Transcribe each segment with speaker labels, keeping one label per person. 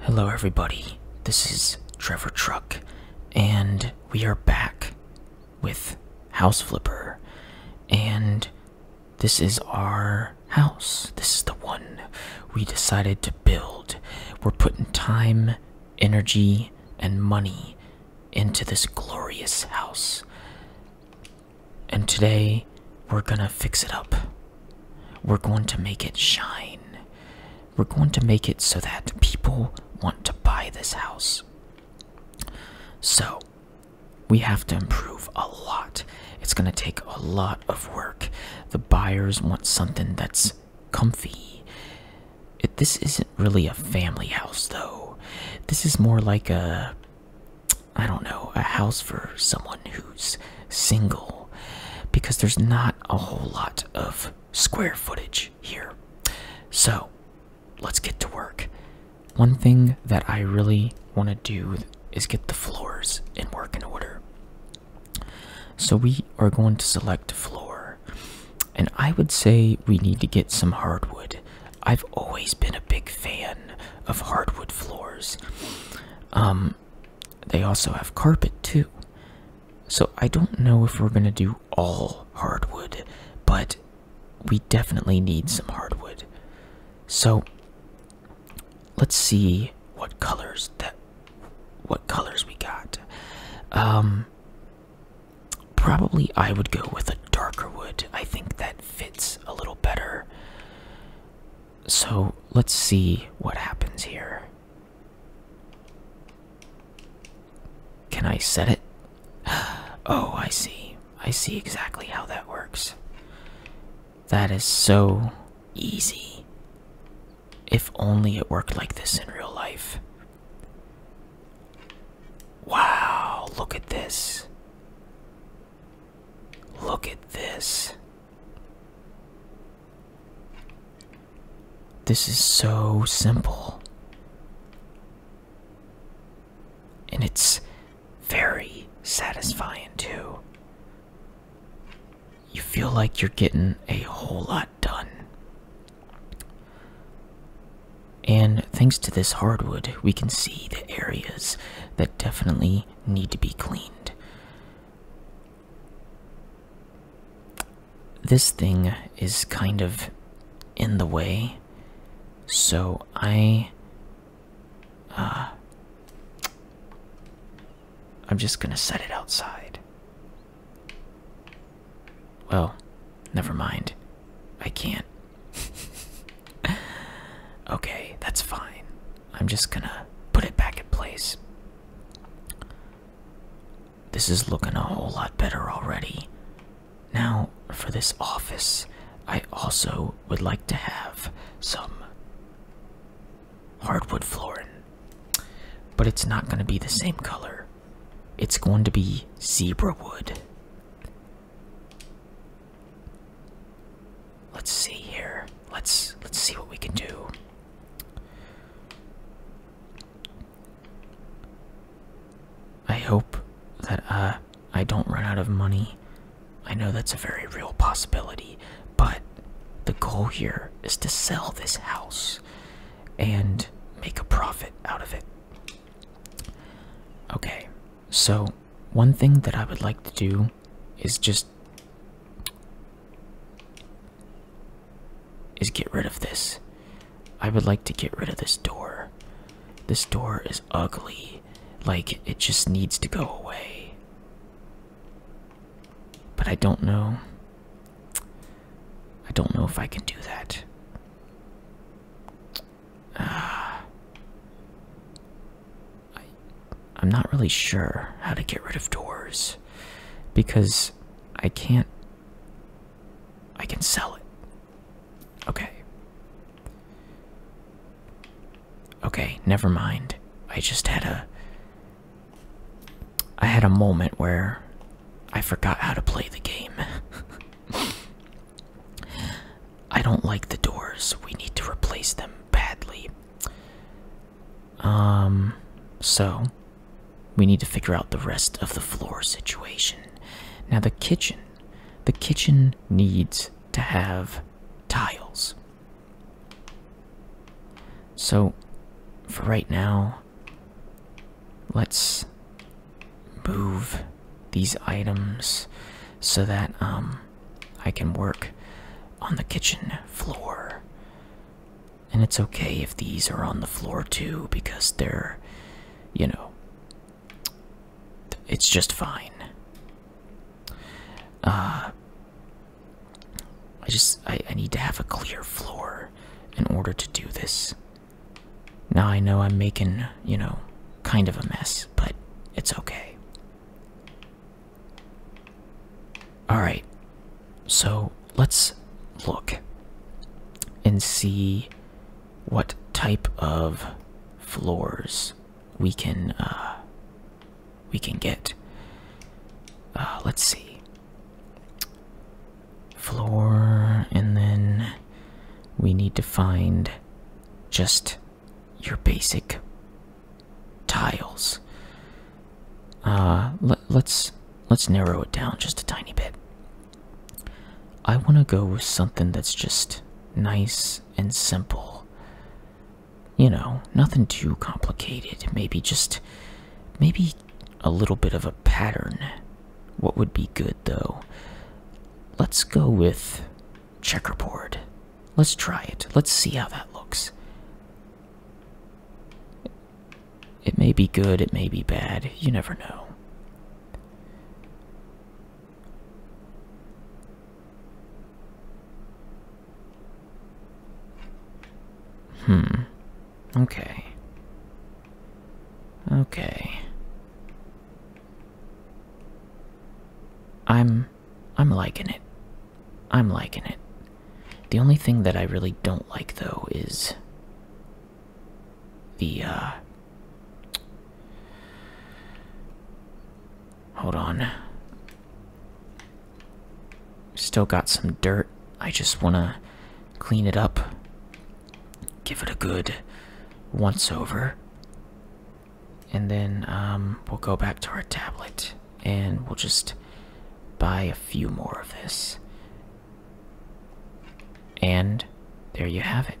Speaker 1: Hello, everybody. This is Trevor Truck, and we are back with House Flipper. And this is our house. This is the one we decided to build. We're putting time, energy, and money into this glorious house. And today, we're gonna fix it up. We're going to make it shine. We're going to make it so that people want to buy this house. So, we have to improve a lot. It's going to take a lot of work. The buyers want something that's comfy. this isn't really a family house, though. This is more like a, I don't know, a house for someone who's single because there's not a whole lot of square footage here. So let's get to work. One thing that I really want to do is get the floors in working order. So we are going to select floor. And I would say we need to get some hardwood. I've always been a big fan of hardwood floors. Um, they also have carpet too. So I don't know if we're going to do all hardwood, but we definitely need some hardwood. So let's see what colors that what colors we got. Um probably I would go with a darker wood. I think that fits a little better. So let's see what happens here. Can I set it? Oh, I see. I see exactly how that works. That is so easy. If only it worked like this in real life. Wow, look at this. Look at this. This is so simple. And it's very satisfying, too. You feel like you're getting a whole lot done. And thanks to this hardwood, we can see the areas that definitely need to be cleaned. This thing is kind of in the way, so I. Uh, I'm just gonna set it outside. Well, never mind. I can't. okay, that's fine. I'm just gonna put it back in place. This is looking a whole lot better already. Now, for this office, I also would like to have some hardwood flooring. But it's not going to be the same color. It's going to be zebra wood. Let's see here. Let's let's see what we can do. I hope that uh, I don't run out of money. I know that's a very real possibility, but the goal here is to sell this house and make a profit out of it. Okay, so one thing that I would like to do is just is get rid of this. I would like to get rid of this door. This door is ugly. Like, it just needs to go away. But I don't know. I don't know if I can do that. Uh, I'm not really sure how to get rid of doors because I can't. I can sell it. Okay. Okay, never mind. I just had a. I had a moment where I forgot how to play the game. I don't like the doors. We need to replace them badly. Um, so we need to figure out the rest of the floor situation. Now, the kitchen. The kitchen needs to have tiles. So, for right now, let's move these items so that um, I can work on the kitchen floor. And it's okay if these are on the floor too, because they're, you know, it's just fine. Uh, I just, I, I need to have a clear floor in order to do this. Now I know I'm making, you know, kind of a mess, but it's okay. All right. So let's look and see what type of floors we can uh, we can get. Uh, let's see. Floor, and then we need to find just your basic tiles. Uh, let's let's narrow it down just a tiny bit. I want to go with something that's just nice and simple. You know, nothing too complicated. Maybe just maybe a little bit of a pattern. What would be good though? Let's go with checkerboard. Let's try it. Let's see how that looks. It may be good, it may be bad, you never know. Hmm. Okay. Okay. I'm I'm liking it. I'm liking it. The only thing that I really don't like though is the uh Hold on. Still got some dirt. I just want to clean it up. Give it a good once over. And then um, we'll go back to our tablet and we'll just buy a few more of this. And there you have it.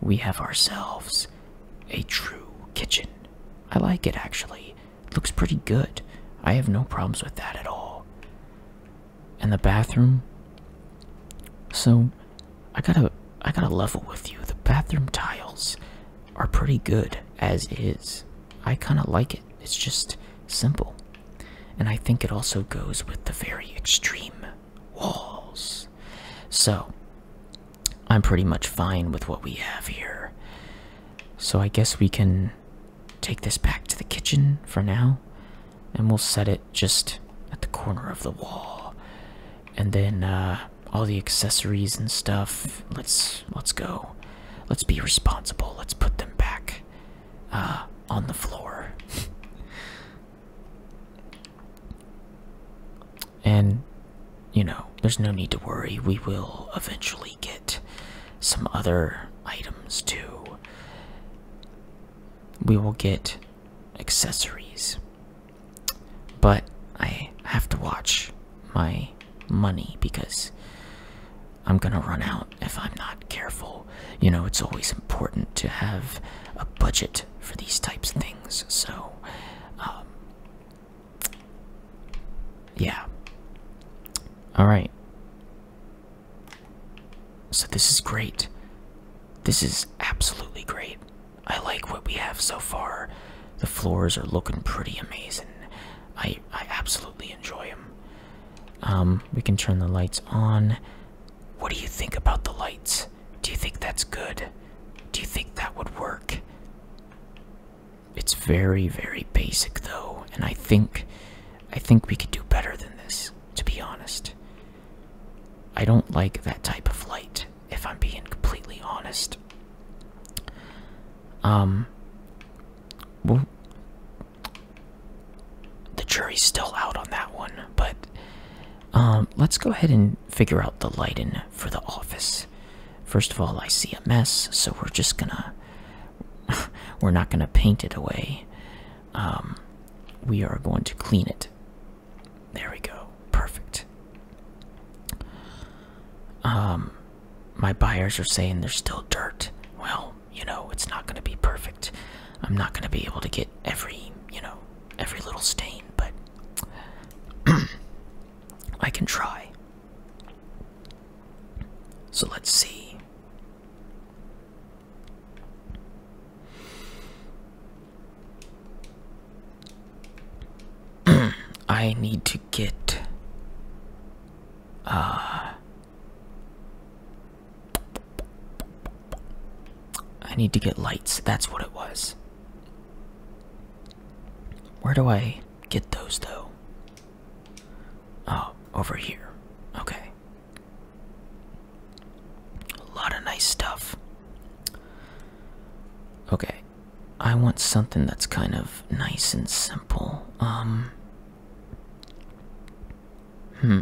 Speaker 1: We have ourselves a true kitchen. I like it actually. looks pretty good. I have no problems with that at all. And the bathroom. So I gotta I gotta level with you. The bathroom tiles are pretty good as is. I kind of like it. It's just simple. And I think it also goes with the very extreme walls. So, I'm pretty much fine with what we have here. So, I guess we can take this back to the kitchen for now. And we'll set it just at the corner of the wall. And then, uh, all the accessories and stuff. Let's let's go. Let's be responsible. Let's put them back uh, on the floor. and, you know, there's no need to worry. We will eventually get some other items too. We will get accessories. But I have to watch my money because I'm gonna run out if I'm not careful. You know, it's always important to have a budget for these types of things, so um, yeah. All right. So, this is great. This is absolutely great. I like what we have so far. The floors are looking pretty amazing. I I absolutely enjoy them. Um, we can turn the lights on. What do you think about the lights? Do you think that's good? Do you think that would work? It's very very basic though, and I think I think we could do better than this, to be honest. I don't like that type of light, if I'm being completely honest. Um well, the jury's still out on that one, but um, let's go ahead and figure out the lighting for the office. First of all, I see a mess, so we're just gonna. we're not gonna paint it away. Um, we are going to clean it. There we go. Perfect. Um, my buyers are saying there's still dirt. Well, you know, it's not going to be perfect. I'm not going to be able to get every, you know, every little stain, but I can try. So let's see. I need to get uh, I need to get lights. That's what it was. Where do I get those though? Oh, over here. Okay. A lot of nice stuff. Okay. I want something that's kind of nice and simple. Um Hmm.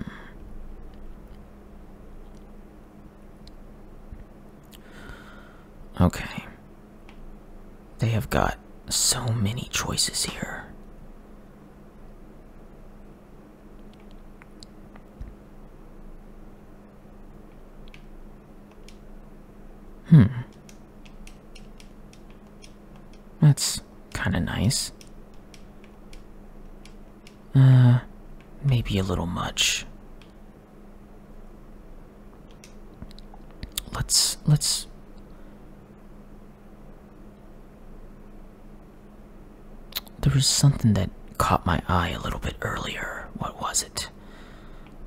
Speaker 1: Okay. They have got so many choices here. Hmm. That's kinda nice. Uh, maybe a little much. Let's, let's. There was something that caught my eye a little bit earlier. What was it?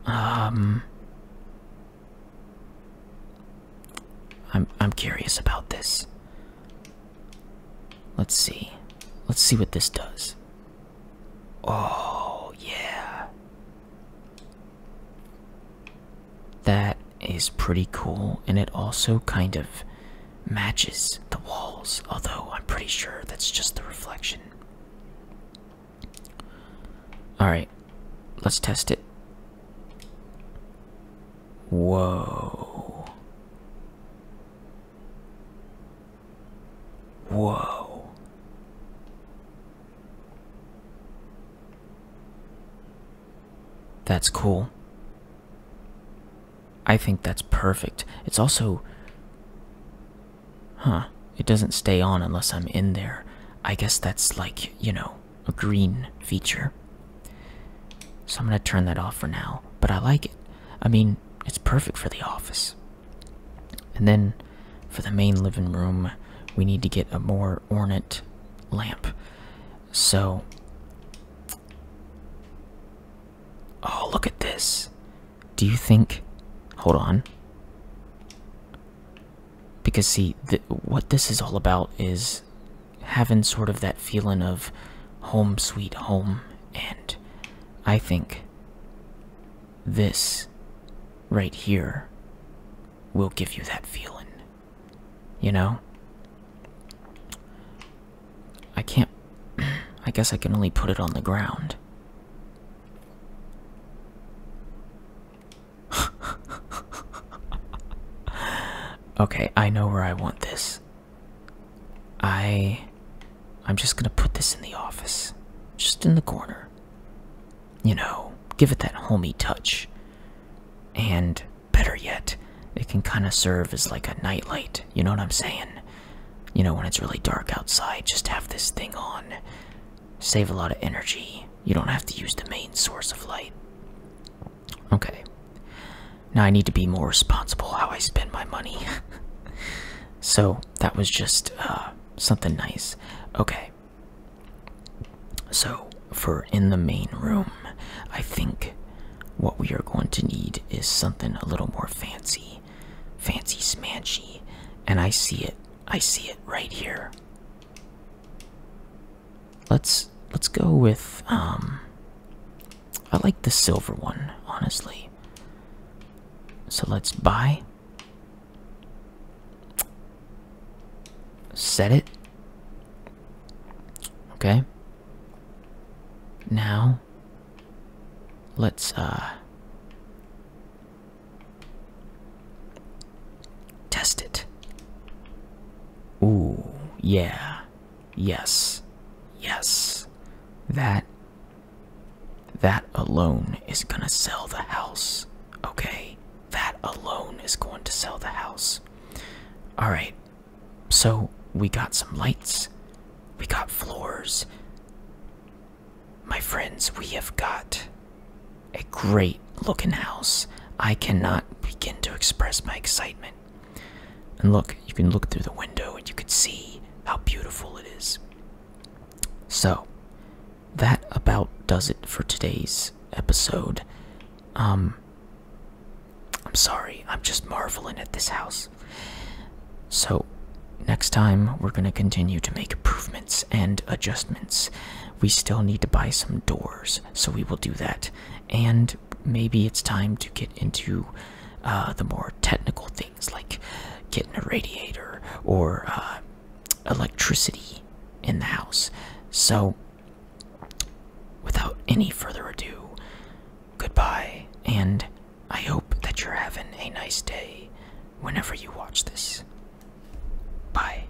Speaker 1: Um. I'm I'm curious about this. Let's see. Let's see what this does. Oh, yeah. That is pretty cool and it also kind of matches the walls, although I'm pretty sure that's just the reflection. All right. Let's test it. Whoa. Whoa. That's cool. I think that's perfect. It's also. Huh. It doesn't stay on unless I'm in there. I guess that's like, you know, a green feature. So I'm going to turn that off for now, but I like it. I mean, it's perfect for the office. And then for the main living room, we need to get a more ornate lamp. So, oh, look at this. Do you think, hold on. Because, see, what this is all about is having sort of that feeling of home sweet home. And I think this right here will give you that feeling. You know? I can't. I guess I can only put it on the ground. okay, I know where I want this. I I'm just going to put this in the office. Just in the corner. You know, give it that homey touch. And better yet, it can kind of serve as like a nightlight. You know what I'm saying? You know, when it's really dark outside, just have this thing on. Save a lot of energy. You don't have to use the main source of light. Okay. Now I need to be more responsible how I spend my money. so that was just uh, something nice. Okay. So for in the main room, I think what we are going to need is something a little more fancy. Fancy smanchy. And I see it. I see it right here. Let's let's go with um I like the silver one, honestly. So let's buy set it. Okay. Now let's uh Test it. Ooh, yeah. Yes. Yes. That. That alone is gonna sell the house. Okay? That alone is going to sell the house. Alright. So, we got some lights. We got floors. My friends, we have got a great looking house. I cannot begin to express my excitement. And look, you can look through the window and you can see how beautiful it is. So, that about does it for today's episode. Um, I'm sorry, I'm just marveling at this house. So, next time we're going to continue to make improvements and adjustments we still need to buy some doors, so we will do that. And maybe it's time to get into uh, the more technical things like getting a radiator or uh, electricity in the house. So, without any further ado, goodbye, and I hope that you're having a nice day whenever you watch this. Bye.